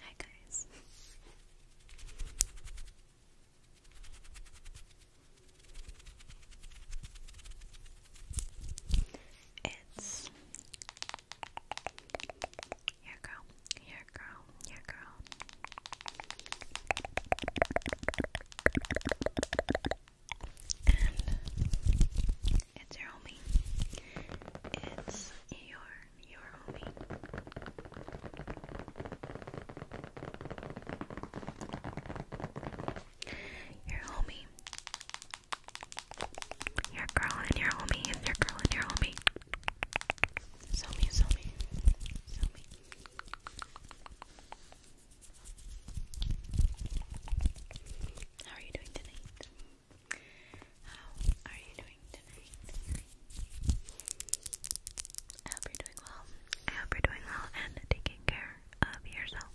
Hi guys. It's your girl, your girl, your girl. And it's your homie. It's your you are Your homie. Your girl and your homie and your girl and your homie. Sell me, sell me. Sell me. How are you doing tonight? How are you doing tonight? I hope you're doing well. I hope you're doing well and taking care of yourself.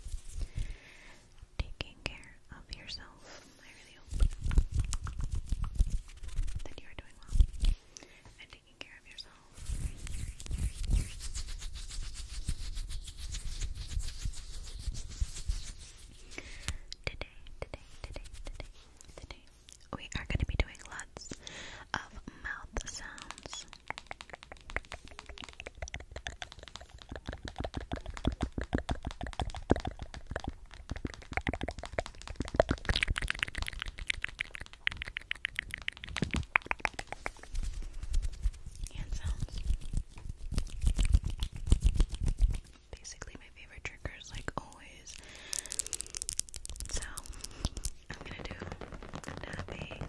Taking care of yourself. I really hope that you are doing well and taking care of yourself. Today, today, today, today, Today, we are going to be doing lots of mouth sounds. sounds basically my favorite triggers, like always. So, I'm gonna do tapping.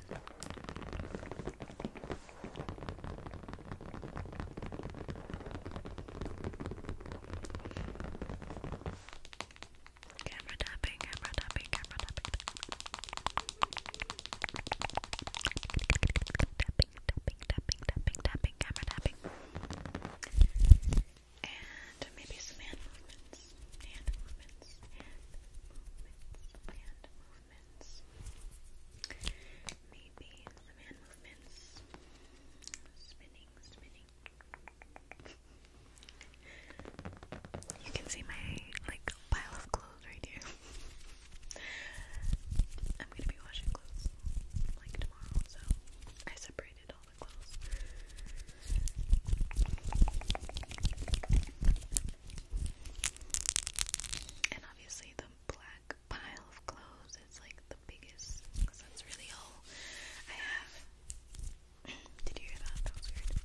Camera tapping, camera tapping, camera Tapping, tapping, tapping, tapping, tapping, camera tapping. And maybe some hand movements. Hand movements. Hand movements. Maybe some hand movements. Spinning, spinning. You can see my like pile of clothes right here. I'm gonna be washing clothes like tomorrow, so I separate separated all the clothes. And obviously the black pile of clothes is like the biggest because that's really all I have. Did you hear that? That was weird.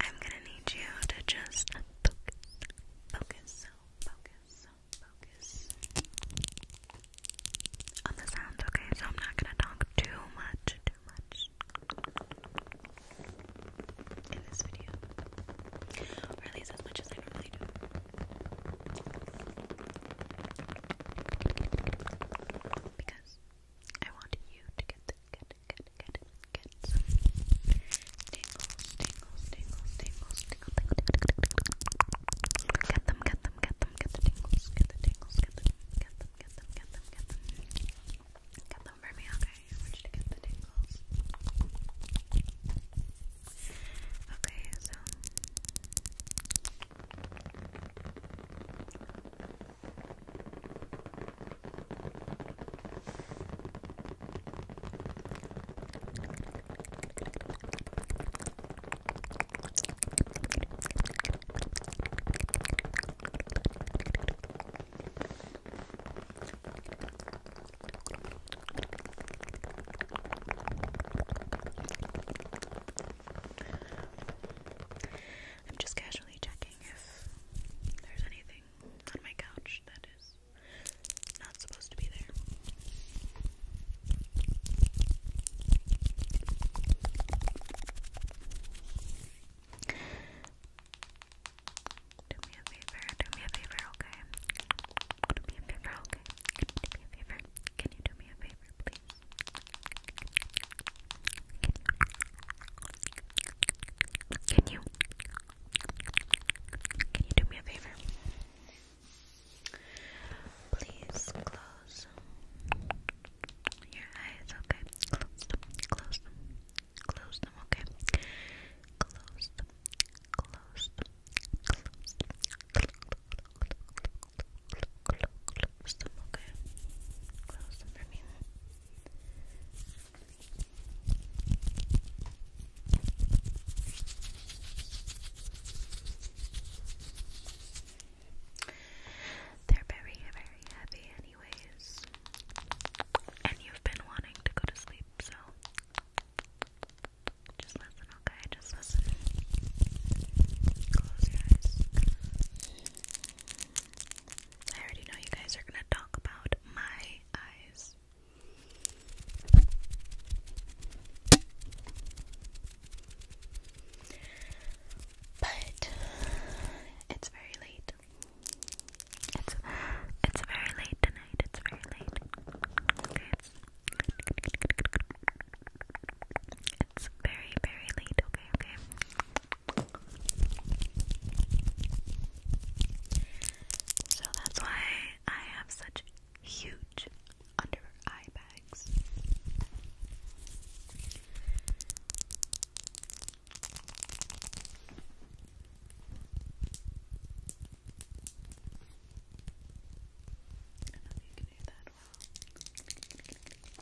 I'm gonna need you to just focus, focus, focus, focus on the sounds, okay? So I'm not gonna talk too much, too much in this video, or at least as much as I normally do. Because I want you to get the get get get get some tingles, tingles, tingles, tingles, tingles, Get them, get them, get them, get the tingles, get the tingles, get them, get them, get them, get them. Get them for me, okay? I want you to get the tingles. Okay, so I'm just casually checking if there's anything on my couch that is not supposed to be there. Do me a favor, do me a favor, okay? Do me a favor, okay? Do me a favor. Can you do me a favor, please? Can you? Can you do me a favor? Please close your eyes, okay? Close them, close them, okay? close them, close them, close them, okay? Close them for me. They're very, very heavy, anyways. And you've been wanting to go to sleep, so just listen, okay? Just listen. Close your eyes. I already know you guys are gonna talk about my eyes. But it's very late. It's it's very late tonight. It's very late. it's very very late. Okay, okay. So that's why I have such huge under eye bags. I don't know you can do that well.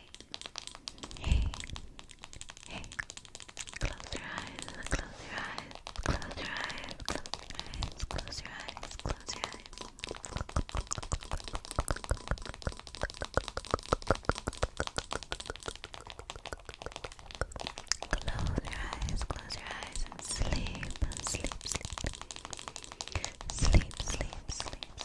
hey, hey. Close your eyes, close your eyes, close your eyes, close your eyes, close your eyes, close your eyes. Close your eyes, close your eyes and sleep, sleep, sleep. Sleep, sleep, sleep,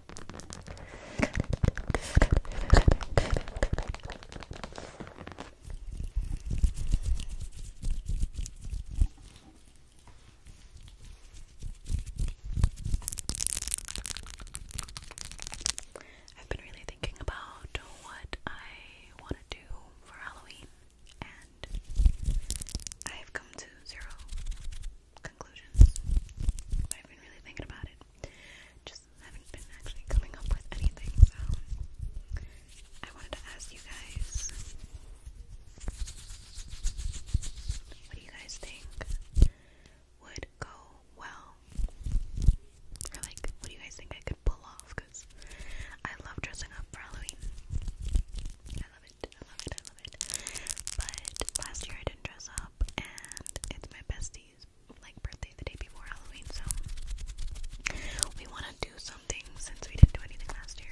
I've been really thinking about what I want to do for Halloween, and I've come to zero conclusions. I've been really thinking about it. Just haven't been actually coming up with anything, so I wanted to ask you guys what do you guys think would go well? Or, like, what do you guys think I could pull off? Because I love dressing up for Halloween. I love it, I love it, I love it. But last year I and dress up, and it's my bestie's like birthday the day before Halloween, so we want to do something since we didn't do anything last year.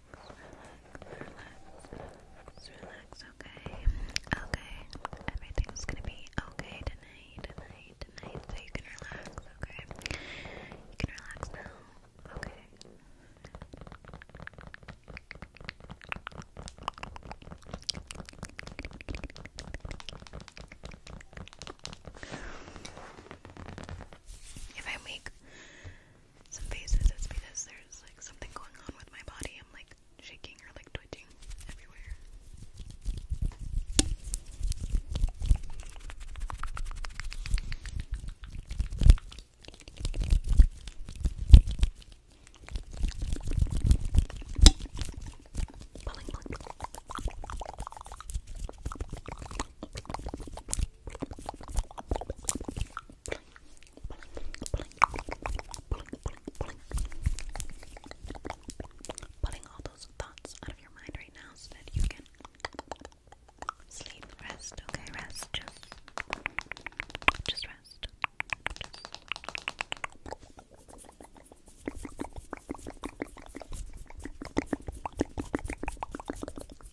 relax, relax, okay? Okay, everything's gonna be okay tonight, tonight, tonight, so you can relax, okay? You can relax now, okay? If I make some faces, it's because there's like something going on with my body. I'm like shaking or like twitching everywhere. Pulling all those thoughts out of your mind right now so that you can sleep, rest, okay? Rest, just, just rest. Just.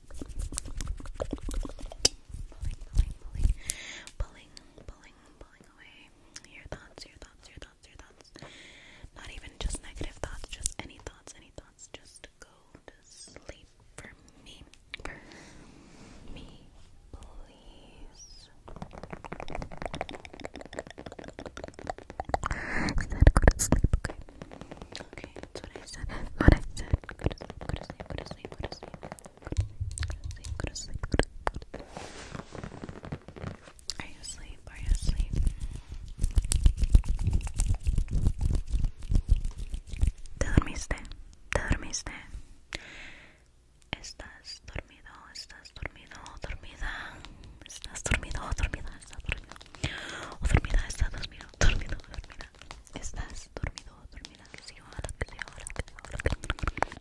Pulling, pulling, pulling, pulling, pulling, pulling away your thoughts, your thoughts, your thoughts, your thoughts. Not even just negative thoughts, just any thoughts, any thoughts. Just go to sleep for me, for me, please. I go to sleep, okay? Okay, that's I said. What I go to sleep, go to sleep, go to sleep. ¿Te dormiste? ¿Te dormiste? ¿Estás dormido? ¿Estás dormido? ¿Dormida? ¿Estás dormido? ¿Dormida? ¿Estás dormido? ¿O dormida? ¿Estás dormido? dormida estás dormido ¿Dormida? ¿Estás dormido dormida, que sí, ahora, que sí, ahora, que sí, ahora.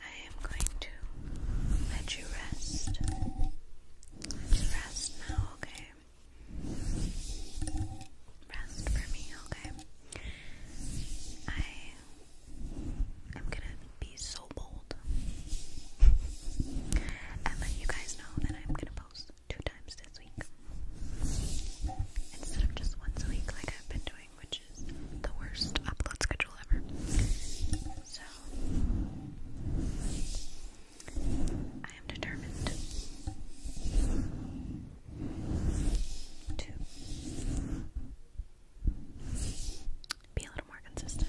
I am going to let you rest. rest now, okay? Rest for me, okay? I am gonna be so bold and let you guys know that I'm gonna post two times this week instead of just once a week like I've been doing which is the worst upload schedule ever. So, I am determined to be a little more consistent.